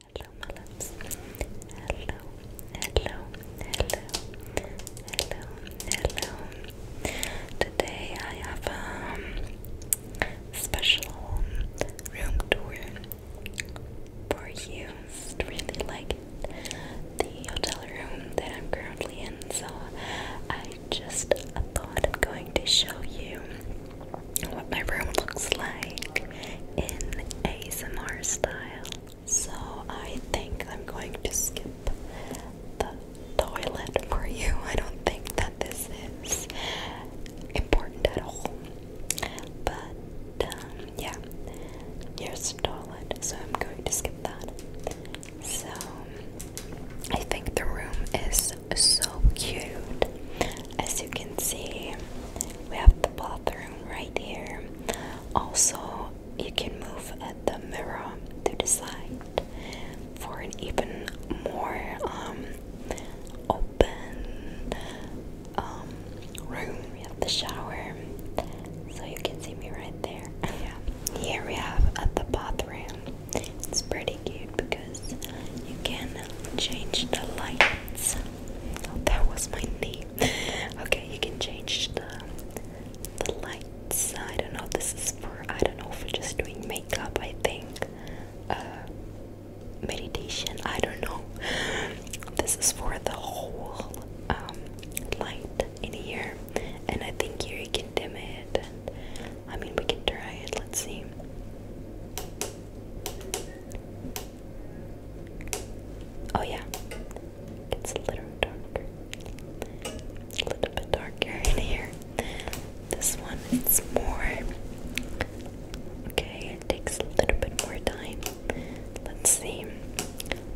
Hello, my loves. Hello, hello, hello, hello, hello. Today I have a um, special room tour for you. I really like the hotel room that I'm currently in, so I just thought I'm going to show you what my room looks like in ASMR style. So I think I'm going to skip the toilet for you. I don't think that this is important at all. But um, yeah, here's the toilet, so I'm going to skip that. So I think the room is so cute. As you can see, we have the bathroom right here. Also, you can move at the mirror to the side for an even more um, open um, room. We have the shower, so you can see me right there. Yeah. Here we have at the bathroom. It's pretty cute you can change the lights. Oh, that was my knee. Okay, you can change the the lights. I don't know. This is for I don't know for just doing makeup. I think uh, meditation. I don't know. This is for the whole um, light in here, and I think here you can dim it. I mean, we can try it. Let's see. Oh yeah, it's a little darker. A little bit darker in here. This one, it's more. Okay, it takes a little bit more time. Let's see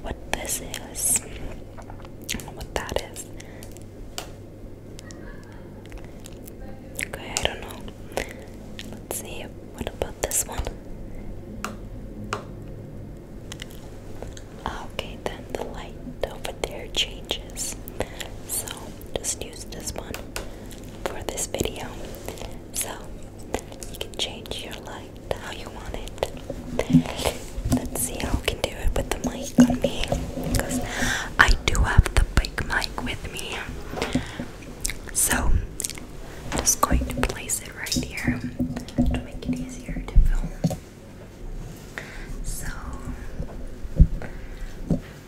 what this is. what that is. Okay, I don't know. Let's see. What about this one? Ah, okay, then the light over there changes. So just use this one for this video. So you can change your light how you want it. Let's see how I can do it with the mic on me because I do have the big mic with me. So I'm just going to place it right here to make it easier to film. So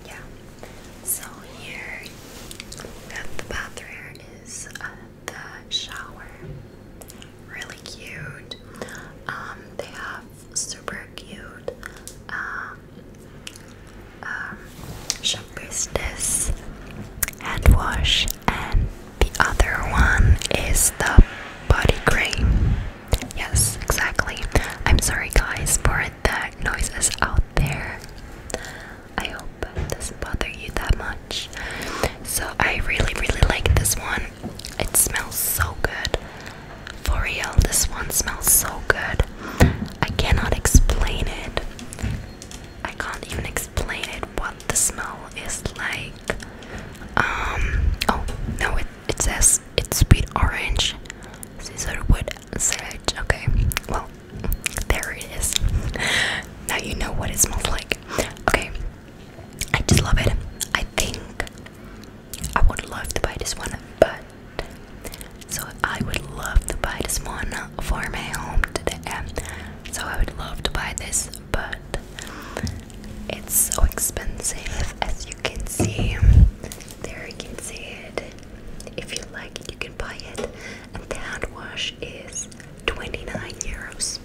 yeah. So here at the bathroom is uh, the shower. Really cute. Um, they have super cute um, um, shop business hand wash and the other one is the body cream yes exactly I'm sorry guys for the noises out there I hope it doesn't bother you that much so I really really like this one it smells so good for real, this one smells so good. I cannot explain it. I can't even explain it what the smell is like. Um oh no it it says it's sweet orange. Scissorwood sage. Okay. Well there it is. now you know what it smells like. Okay. I just love it. I think I would love to buy this one, but so I would love to buy this one for my home today. So I would love to buy this, but it's so expensive as you can see. There you can see it. If you like it, you can buy it. And the hand wash is 29 euros.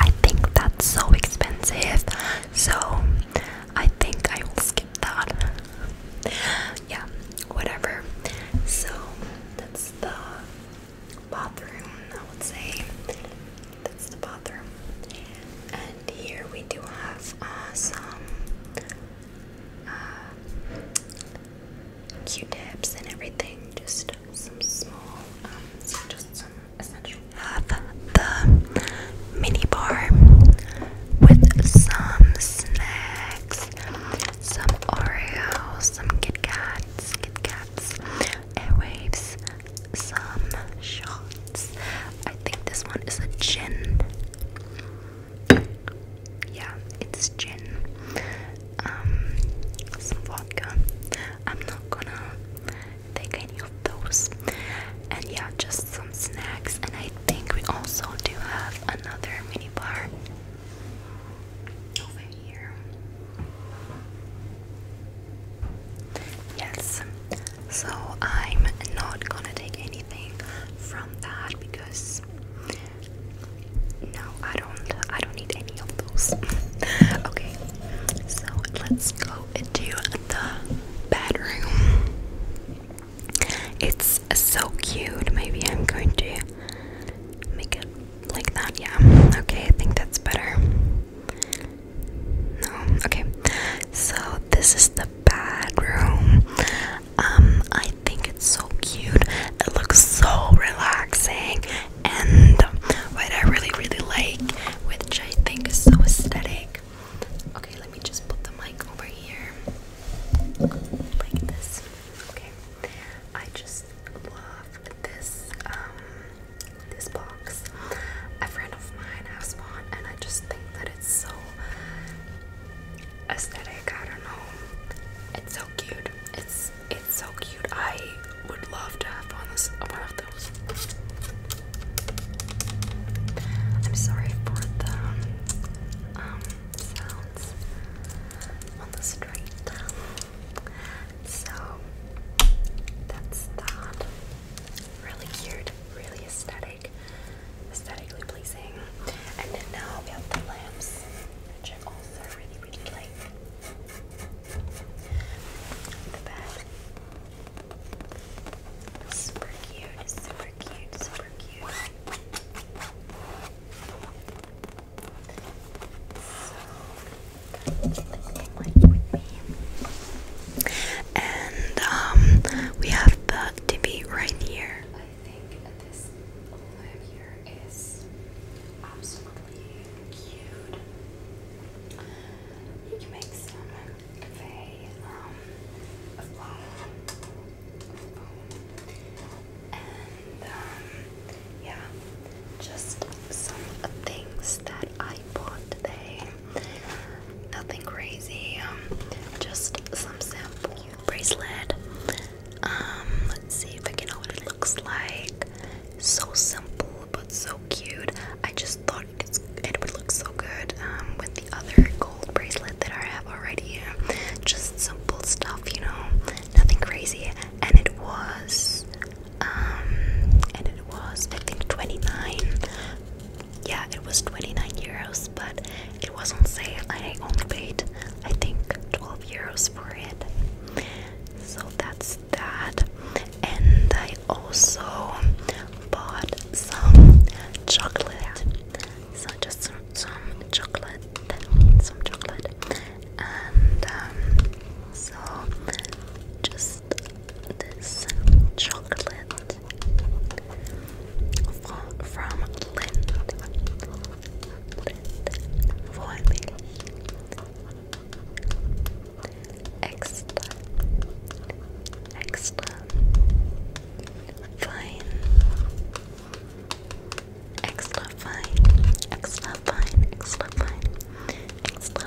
I think that's so expensive. So I think I will skip that. yeah, whatever. So that's the bathroom, I would say. That's the bathroom. And here we do have uh, some uh, Q-tips and everything. Just some small, um, just some essential the mini with some snacks, some Oreos, some Kit Kats, Kit Kats, airwaves, some shots. I think this one is a gin. Yeah, it's gin. Um, some vodka. I'm not gonna take any of those. And yeah, just snacks, and I think we also do have another mini bar over here. Yes, so I'm not gonna take anything from that because no, I don't. I don't need any of those. okay, so let's go into the bedroom. It's so cute. Maybe I'm going to make it like that. Yeah. Okay, I think that's better. No. Okay. So this is the bedroom. Um, I think it's so cute. It looks so relaxing, and what I really, really like, which I think is so aesthetic, Okay, let me just put the mic over here like this. Okay, I just love this um this box. A friend of mine has one, and I just think that it's so aesthetic. I don't know. It's so cute. It's it's so cute. I would love to have one of, one I'm sorry for the um, um sounds on the street. So that's that. Really cute, really aesthetic, aesthetically pleasing. And then now we have the lamps, which I also really, really like. The bed Super cute, super cute, super cute. And um, we have the tibby right here. I think this over here is absolutely cute. You can they um a phone, and um yeah just some things that I bought today nothing crazy um just some sample bracelet um let's see if I can know what it looks like so simple but so cute I just thought it would look so good um, with the other gold bracelet that I have already. Just simple stuff, you know, nothing crazy. And it was, um, and it was, I think, 29. Yeah, it was 29 euros, but it was not Say, I only paid, I think, 12 euros for it. So that's that and I also bought some chocolate so just some, chocolate some chocolate and um, so just this chocolate from, from for me extra, extra, fine, extra fine, extra fine, extra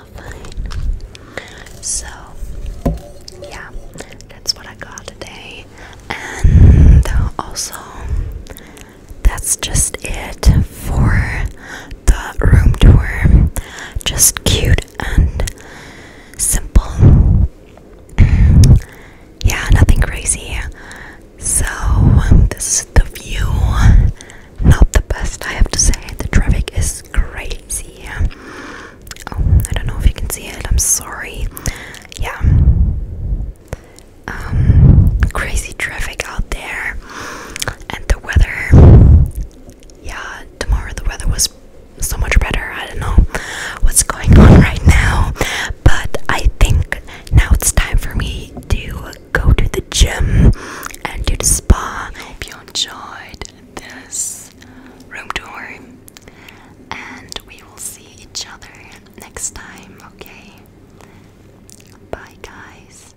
fine, So, yeah, that's what I got today, and also that's just it for the room tour. Just cute and simple. yeah, nothing crazy. So, um, this is the view. Not the best, I have to say. The traffic is crazy. Oh, I don't know if you can see it. I'm sorry. Yeah. Um, crazy traffic out there. And the weather yeah, tomorrow the weather was so much better. I don't know what's going on right now, but I think now it's time for me to go to the gym and do the spa. I hope you enjoyed this room tour, and we will see each other next time, okay? Bye, guys.